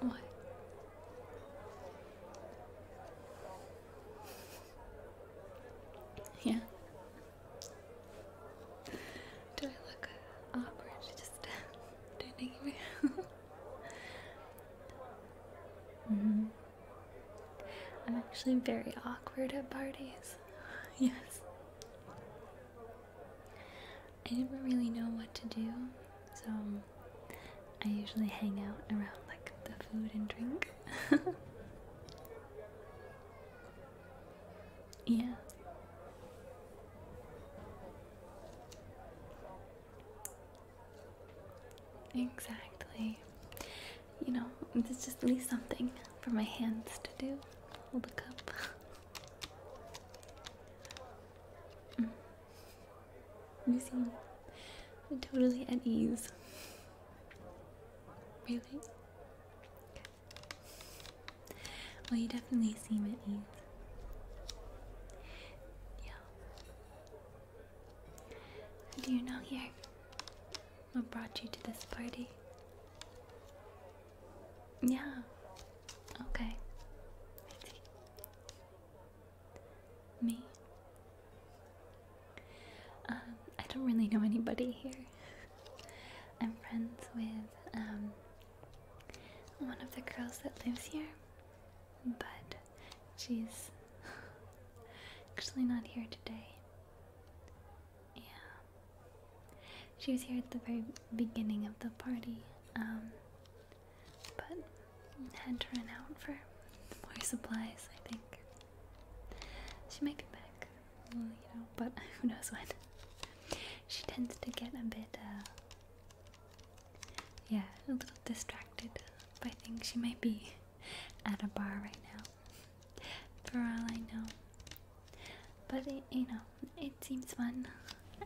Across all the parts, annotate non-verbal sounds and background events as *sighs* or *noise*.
What? Yeah. Do I look awkward just standing *laughs* *laughs* here? Mm-hmm. I'm actually very awkward at parties. *laughs* yes. I never really know what to do, so I usually hang out around like the food and drink. Yeah. Exactly. You know, there's just at something for my hands to do. Hold the cup. mm. You seem totally at ease. Really? Well, you definitely seem at ease. Yeah. do you know here? What brought you to this party? Yeah. Okay. Me? Um, I don't really know anybody here. I'm friends with um, one of the girls that lives here, but she's *laughs* actually not here today. Yeah. She was here at the very beginning of the party, um, but had to run out for more supplies, I think. She might be back, you know, but *laughs* who knows when. She tends to get a bit, uh, yeah, a little distracted But I think She might be at a bar right now, for all I know. But, you know, it seems fun.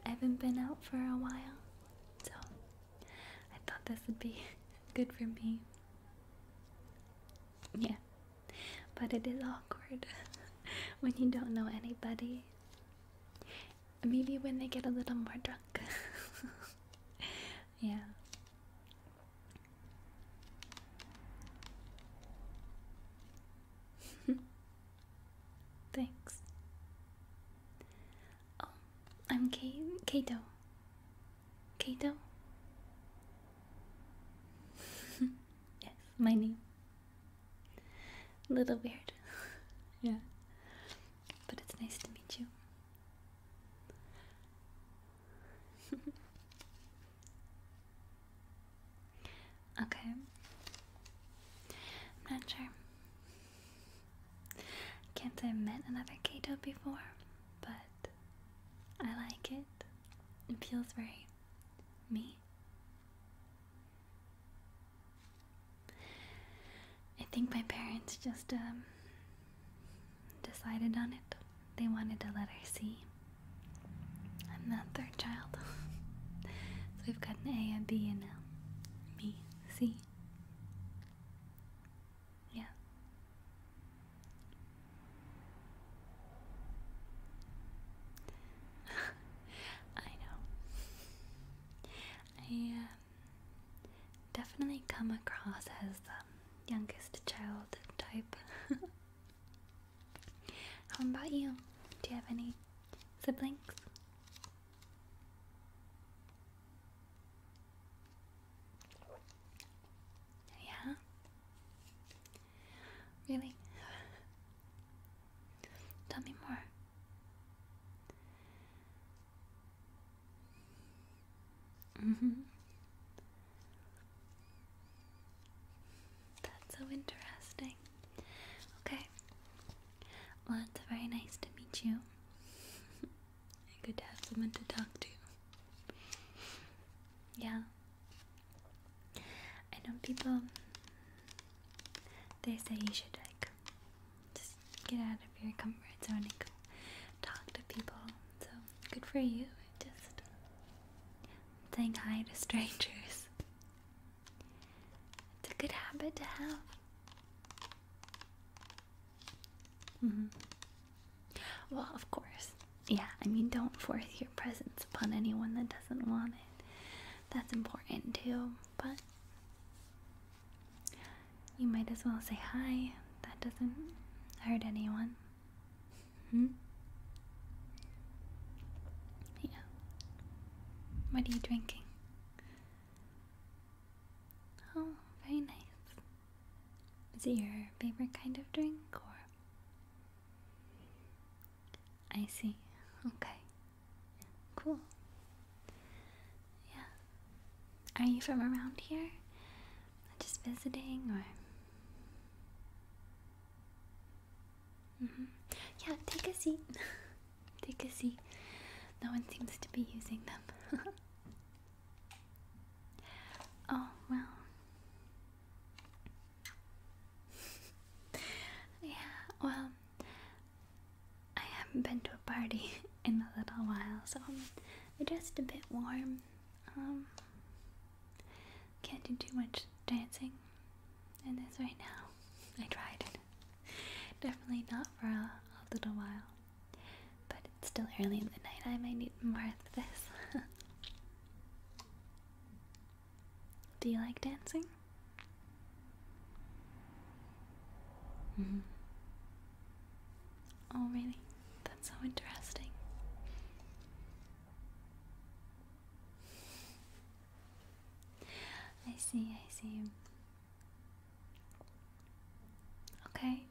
I haven't been out for a while, so I thought this would be *laughs* good for me. Yeah. But it is awkward *laughs* when you don't know anybody. Maybe when they get a little more drunk. *laughs* yeah. *laughs* Thanks. Oh, I'm K Kato. Kato? *laughs* yes, my name. little weird. yeah. But it's nice to meet you. *laughs* okay. I'm not sure. Can't say I have met another Kato before, but I like it. It feels very me. I think my parents just um, decided on it. They wanted to let her see. I'm not their child. *laughs* so we've got an A and B a me, C. Yeah. *laughs* I know. I um, definitely come across as the youngest child type. *laughs* How about you? Do you have any siblings? Yeah? Really? Tell me more. Mm-hmm. That's so interesting. Okay. Well, it's very nice to meet you. *laughs* good to have someone to talk to. Yeah. I know people, they say you should like just get out of your comfort zone and talk to people. So good for you. Just saying hi to strangers. It's a good habit to have. Mm-hmm. Well, of course. Yeah, I mean, don't force your presence upon anyone that doesn't want it. That's important too, but you might as well say hi. That doesn't hurt anyone. Hmm? Yeah. What are you drinking? Oh, very nice. Is it your favorite kind of drink or? I see. Okay. Cool. Yeah. Are you from around here? Just visiting or? Mm -hmm. Yeah, take a seat. *laughs* take a seat. No one seems to be using them. *laughs* Oh, well. *laughs* yeah, well, I haven't been to a party *laughs* in a little while, so I'm just a bit warm. Um, can't do too much dancing in this right now. *laughs* I tried. Definitely not for a little while. But it's still early in the night. I might need more of this. *laughs* Do you like dancing? Mm-hmm. Oh, really? That's so interesting. I see, I see. Okay,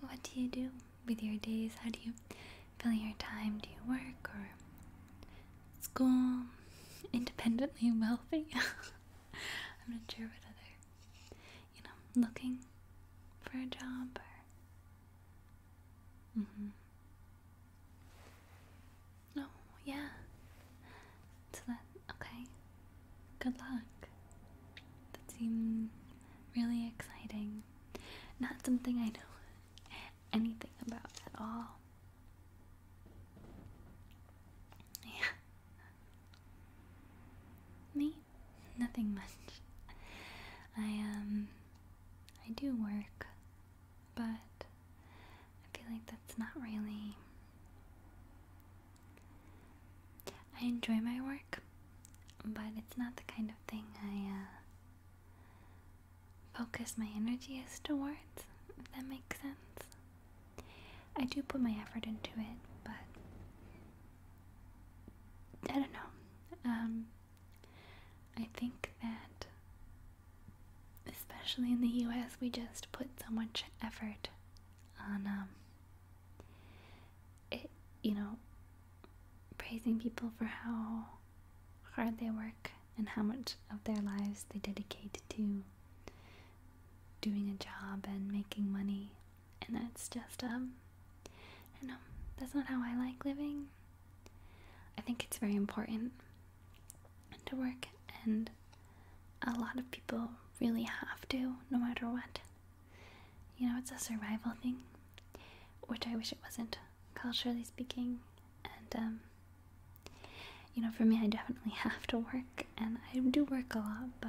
what do you do with your days? How do you fill your time? Do you work or school? Independently wealthy? *laughs* I'm not sure what other, you know, looking for a job or. Mm-hmm. Oh yeah. So that okay. Good luck. That seems really exciting. Not something I know anything about at all. Me? Nothing much. I um I do work, but I feel like that's not really. I enjoy my work, but it's not the kind of thing I uh, focus my energy as towards, if that makes sense. I do put my effort into it, but I don't know. Um, I think that especially in the US, we just put so much effort on, um, you know, praising people for how hard they work and how much of their lives they dedicate to doing a job and making money. And that's just, um, I know, that's not how I like living. I think it's very important to work, and a lot of people really have to, no matter what. You know, it's a survival thing, which I wish it wasn't, culturally speaking. And, um, you know, for me, I definitely *laughs* have to work, and I do work a lot, but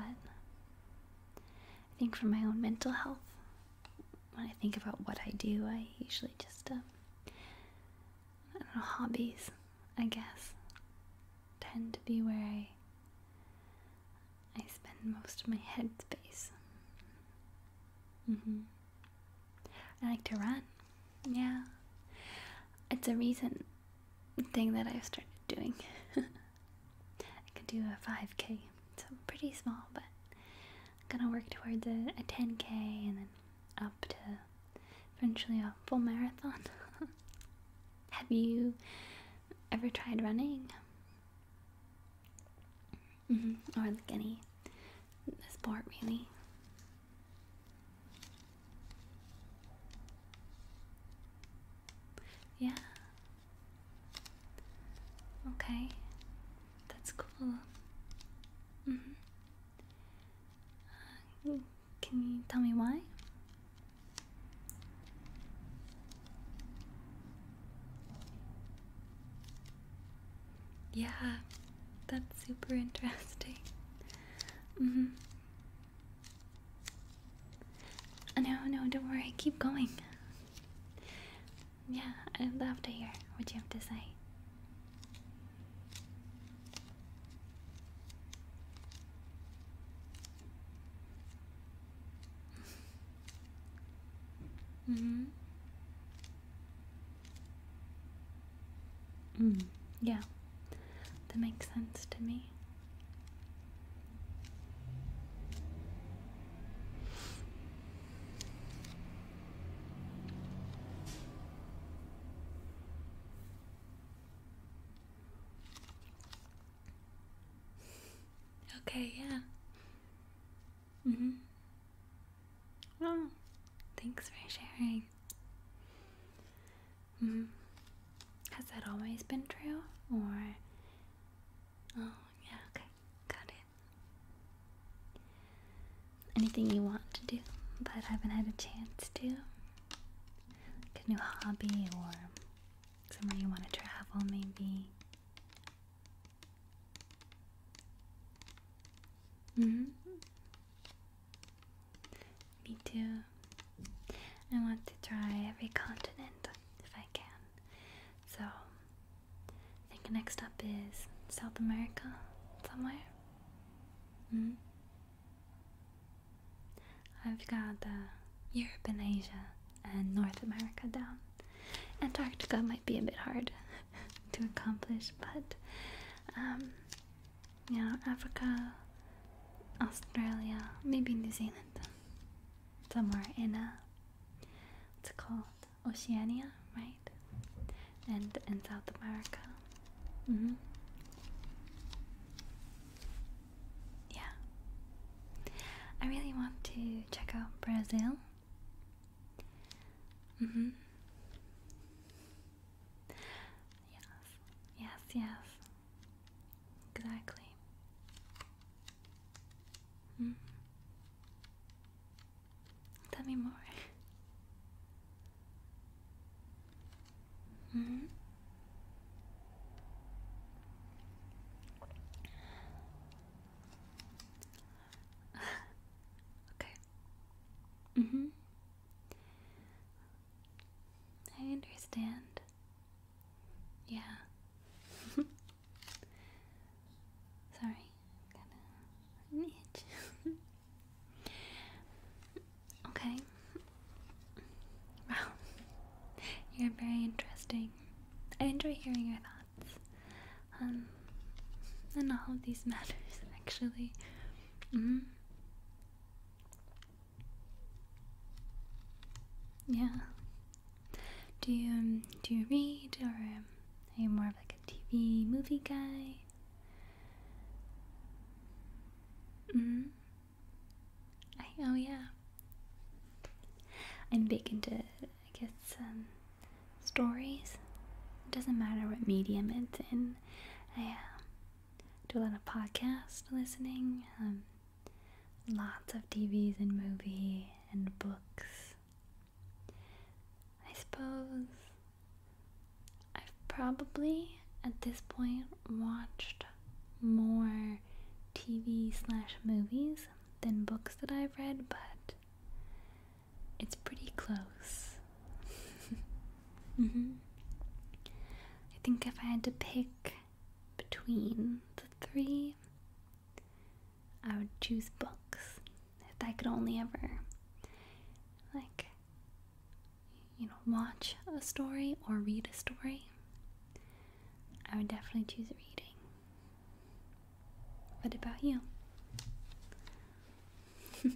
I think for my own mental health, when I think about what I do, I usually just um, hobbies, I guess, tend to be where I, I spend most of my headspace. mm I like to run. Yeah. It's a recent thing that I've started doing. *laughs* I could do a 5K, so pretty small, but I'm gonna work towards a 10K and then up to eventually a full marathon. *laughs* Have you ever tried running? Mm-hmm. Or any sport, really? Yeah. Okay. That's cool. -hmm. Can you tell me why? Yeah, that's super interesting. Mm -hmm. No, no, don't worry, keep going. Yeah, I'd love to hear what you have to say. Mm-hmm. Mm, yeah, that makes sense to me. Okay, yeah. Mm-hmm. Oh, thanks for sharing. hmm Has that always been true? Or. Oh, yeah, okay. Got it anything you want to do but haven't had a chance to? Like a new hobby or somewhere you want to travel, maybe? hmm. Me too. I want to try every continent if I can. So, I think next up is South America somewhere. hmm. I've got uh, Europe and Asia and North America down. Antarctica might be a bit hard *laughs* to accomplish, but um, Africa, Australia, maybe New Zealand, somewhere in uh, what's called? Oceania, right? And in South America. Mm -hmm. Yeah. I really want to check out Brazil. Mm hmm. Yes, yes, yes. Exactly. Mm-hmm. Tell me more. Hmm? *sighs* okay. Mm hmm. I understand. Yeah. *laughs* Sorry, gonna need you. *laughs* okay. Wow. You're very interesting. I enjoy hearing your thoughts. Um, on all of these *laughs* matters, actually. Mm-hmm. Yeah. Do you um, do you read or are you more of like a TV movie guy? Mm. I oh yeah. I'm big into I guess um, stories. It doesn't matter what medium it's in. I um, do a lot of podcast listening. Um, lots of TVs and movie and books. I suppose I've probably at this point watched more TV slash movies than books that I've read, but it's pretty close. *laughs* Mm-hmm. I think if I had to pick between the three, I would choose books if I could only ever, like, you know, watch a story or read a story, I would definitely choose reading. What about you? *laughs*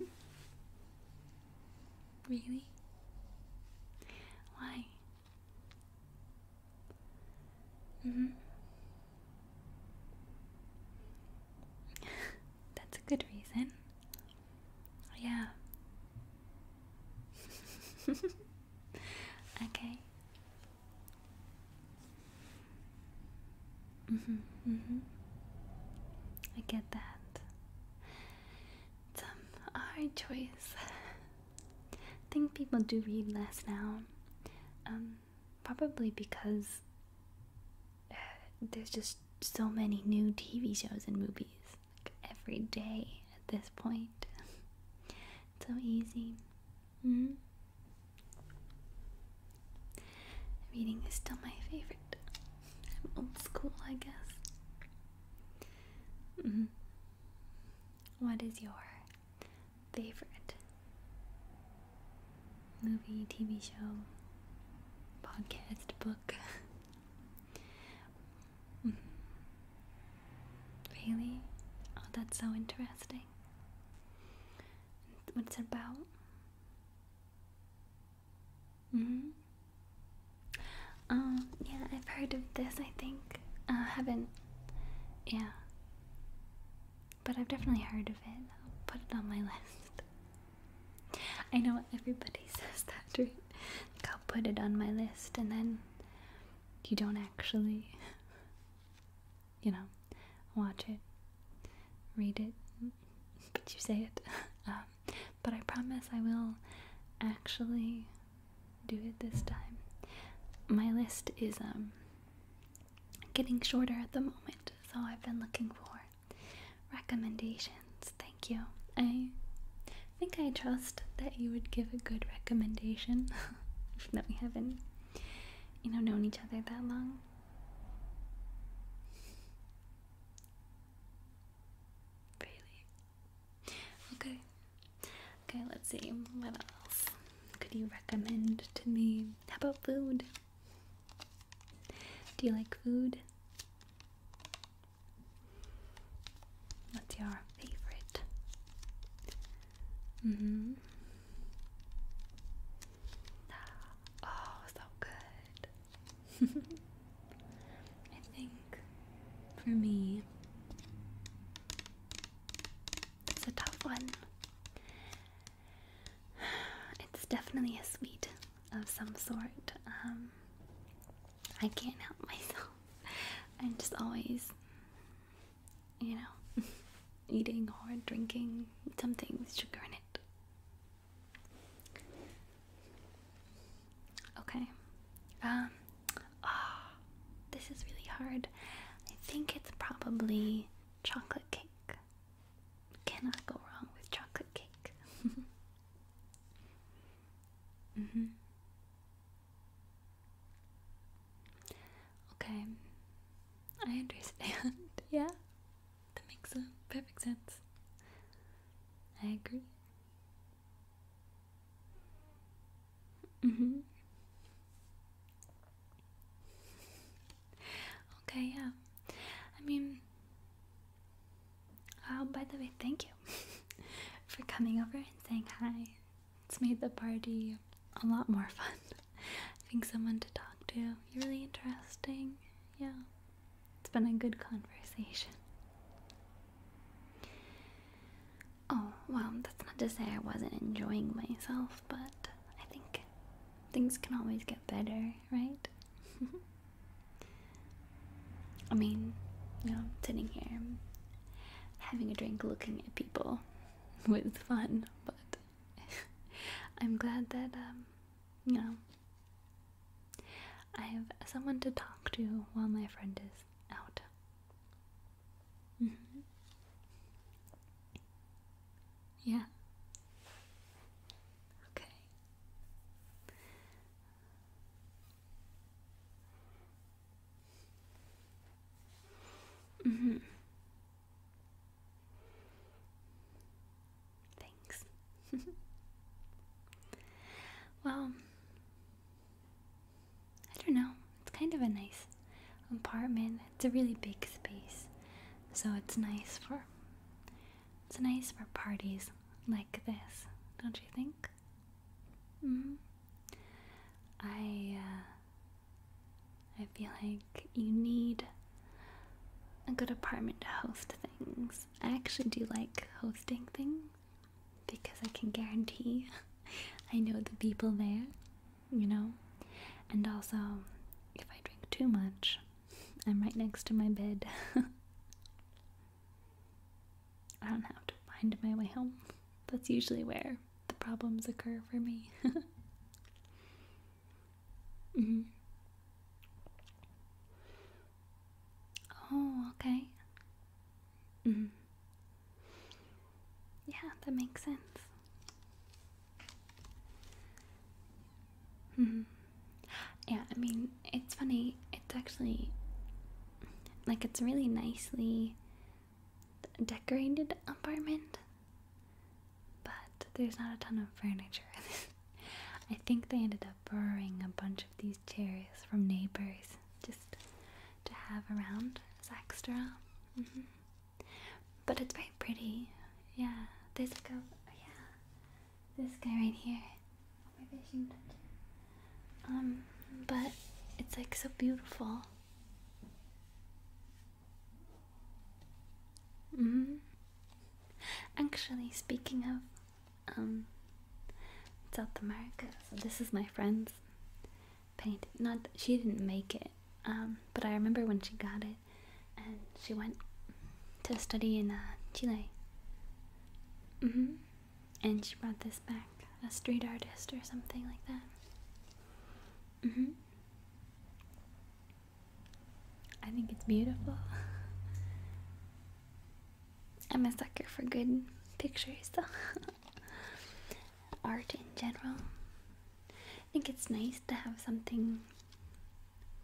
really? Why? Mm-hmm. *laughs* That's a good reason. Yeah. *laughs* okay. Mhm. Mm mhm. Mm I get that. It's a hard choice. I think people do read less now. Um, probably because there's just so many new TV shows and movies like every day at this point. it's *laughs* so easy. Mm-hmm. Reading is still my favorite. I'm old school, I guess. Mm-hmm. What is your favorite movie, TV show, podcast, book. *laughs* Mm-hmm. really? Oh, that's so interesting. What's it about? hmm Um, yeah, I've heard of this, I think. I haven't. Yeah. But I've definitely heard of it. I'll put it on my list. I know everybody *laughs* says that, right? I'll put it on my list, and then you don't actually, *laughs* you know, watch it, read it, but you say it. *laughs* Um, but I promise I will actually do it this time. My list is um, getting shorter at the moment, so I've been looking for Recommendations. Thank you. I think I trust that you would give a good recommendation. that *laughs* we haven't, you know, known each other that long. Really? Okay. Okay, let's see. What else could you recommend to me? How about food? Do you like food? What's your favorite? Mm-hmm. Oh, so good. *laughs* I think for me, it's a tough one. *sighs* It's definitely a sweet of some sort. Um, I can't help myself. *laughs* I'm just always, you know, *laughs* eating or drinking something with sugar in it. Okay. Um, ah, this is really hard. I think it's probably chocolate cake cannot go wrong with chocolate cake. *laughs* mm -hmm. Okay, I understand. *laughs* yeah, that makes perfect sense. I agree. Mm -hmm. *laughs* okay, yeah. I mean, oh, by the way, thank you *laughs* for coming over and saying hi. It's made the party a lot more fun. *laughs* Having someone to talk to. You're really interesting. Yeah. It's been a good conversation. Oh, well, that's not to say I wasn't enjoying myself but I think things can always get better, right? *laughs* I mean, you know, sitting here having a drink looking at people *laughs* with fun, but *laughs* I'm glad that, um, you know, I have someone to talk to while my friend is out. Mm-hmm. Yeah. Okay. Mhm. Mm Thanks. *laughs* well, I don't know. It's kind of a nice apartment. It's a really big space so it's nice for it's nice for parties like this, don't you think? Mm-hmm. I uh, I feel like you need a good apartment to host things. I actually do like hosting things because I can guarantee *laughs* I know the people there you know? And also, if I drink too much, I'm right next to my bed. *laughs* I don't have to find my way home. That's usually where the problems occur for me. *laughs* Mm-hmm. Oh, okay. Mm-hmm. Yeah, that makes sense. Mm-hmm. yeah, I mean, it's funny. It's actually like it's a really nicely decorated apartment, but there's not a ton of furniture. *laughs* I think they ended up borrowing a bunch of these chairs from neighbors just to have around as extra. Mm-hmm. But it's very pretty. Yeah, there's guy, a oh yeah, this guy right here. Um, but it's like so beautiful. -hmm. Actually, speaking of um, South America, so this is my friend's painting. Not she didn't make it, um, but I remember when she got it and she went to study in uh, Chile. Mm-hmm. And she brought this back, a street artist or something like that. Mm-hmm. I think it's beautiful. *laughs* I'm a sucker for good pictures, though. *laughs* Art in general. I think it's nice to have something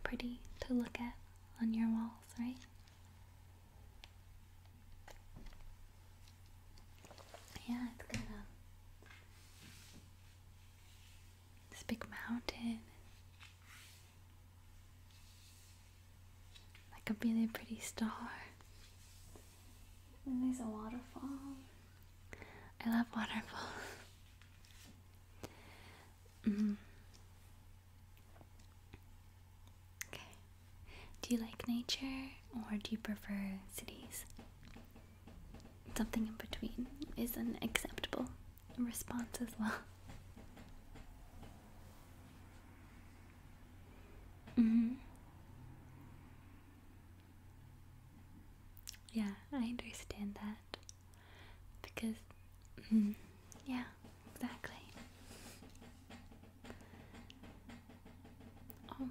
pretty to look at on your walls, right? Yeah, it's got um, this big mountain, like a really pretty star, and there's a waterfall. I love waterfalls. Mm-hmm. Okay. Do you like nature or do you prefer cities? Something in between is an acceptable response as well. Mm hmm yeah, I understand that. Because, mm, yeah, exactly. Oh.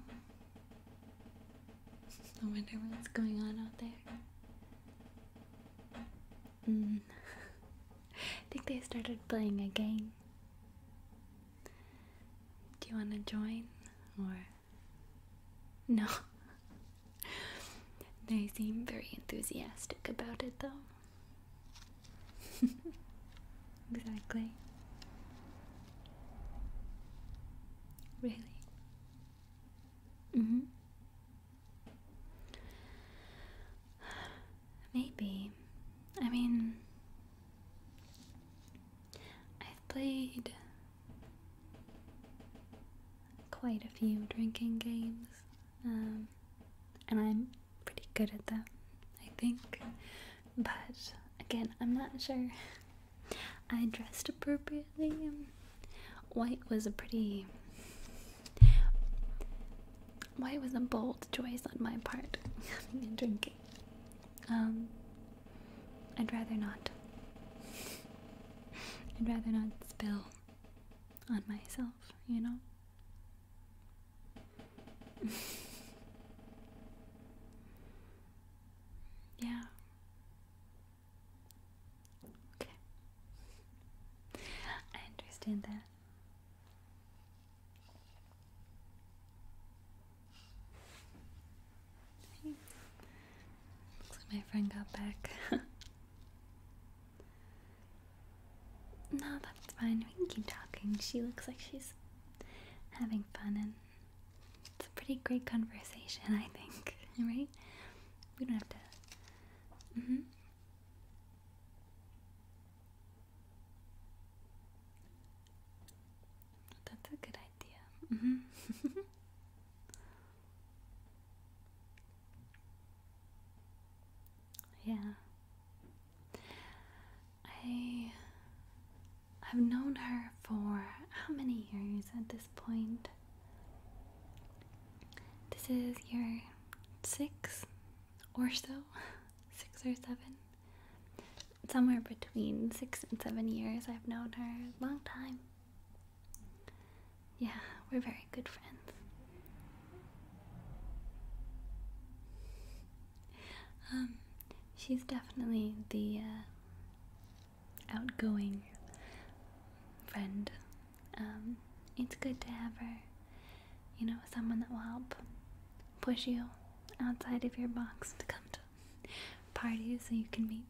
I wonder what's going on out there. Mm. *laughs* I think they started playing a game. Do you want to join? Or no. They seem very enthusiastic about it, though. *laughs* exactly. Really? hmm. Maybe. I mean, I've played quite a few drinking games, um, and I'm pretty good at them, I think. But again, I'm not sure. *laughs* I dressed appropriately. Um, white was a pretty. White was a bold choice on my part, *laughs* drinking. Um, I'd rather not. I'd rather not spill on myself, you know? *laughs* yeah. Okay. I understand that. Hey. Looks like my friend got back. no, that's fine. We can keep talking. She looks like she's having fun, and it's a pretty great conversation, I think. *laughs* Right? We don't have to. Mm-hmm. That's a good Mm-hmm. *laughs* yeah. I I've known her for how many years at this point? This is year six or so, *laughs* six or seven somewhere between six and seven years. I've known her a long time. Yeah, we're very good friends. Um, she's definitely the uh, outgoing friend. Um, it's good to have her, you know, someone that will help push you outside of your box to come to parties so you can meet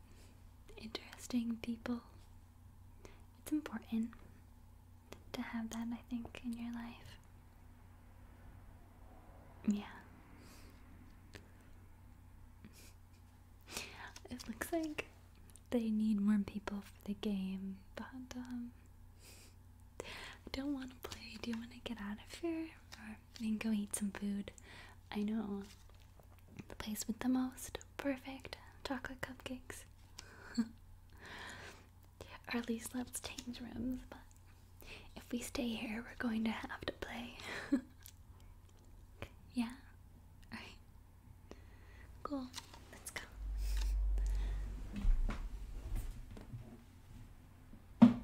interesting people. It's important to have that, I think, in your life. Yeah. *laughs* It looks like they need more people for the game, but um, I don't want to play. Do you want to get out of here? We can go eat some food. I know. The place with the most perfect chocolate cupcakes. *laughs* or at least let's change rooms, but if we stay here, we're going to have to play. *laughs* yeah? Alright. Cool. Let's go.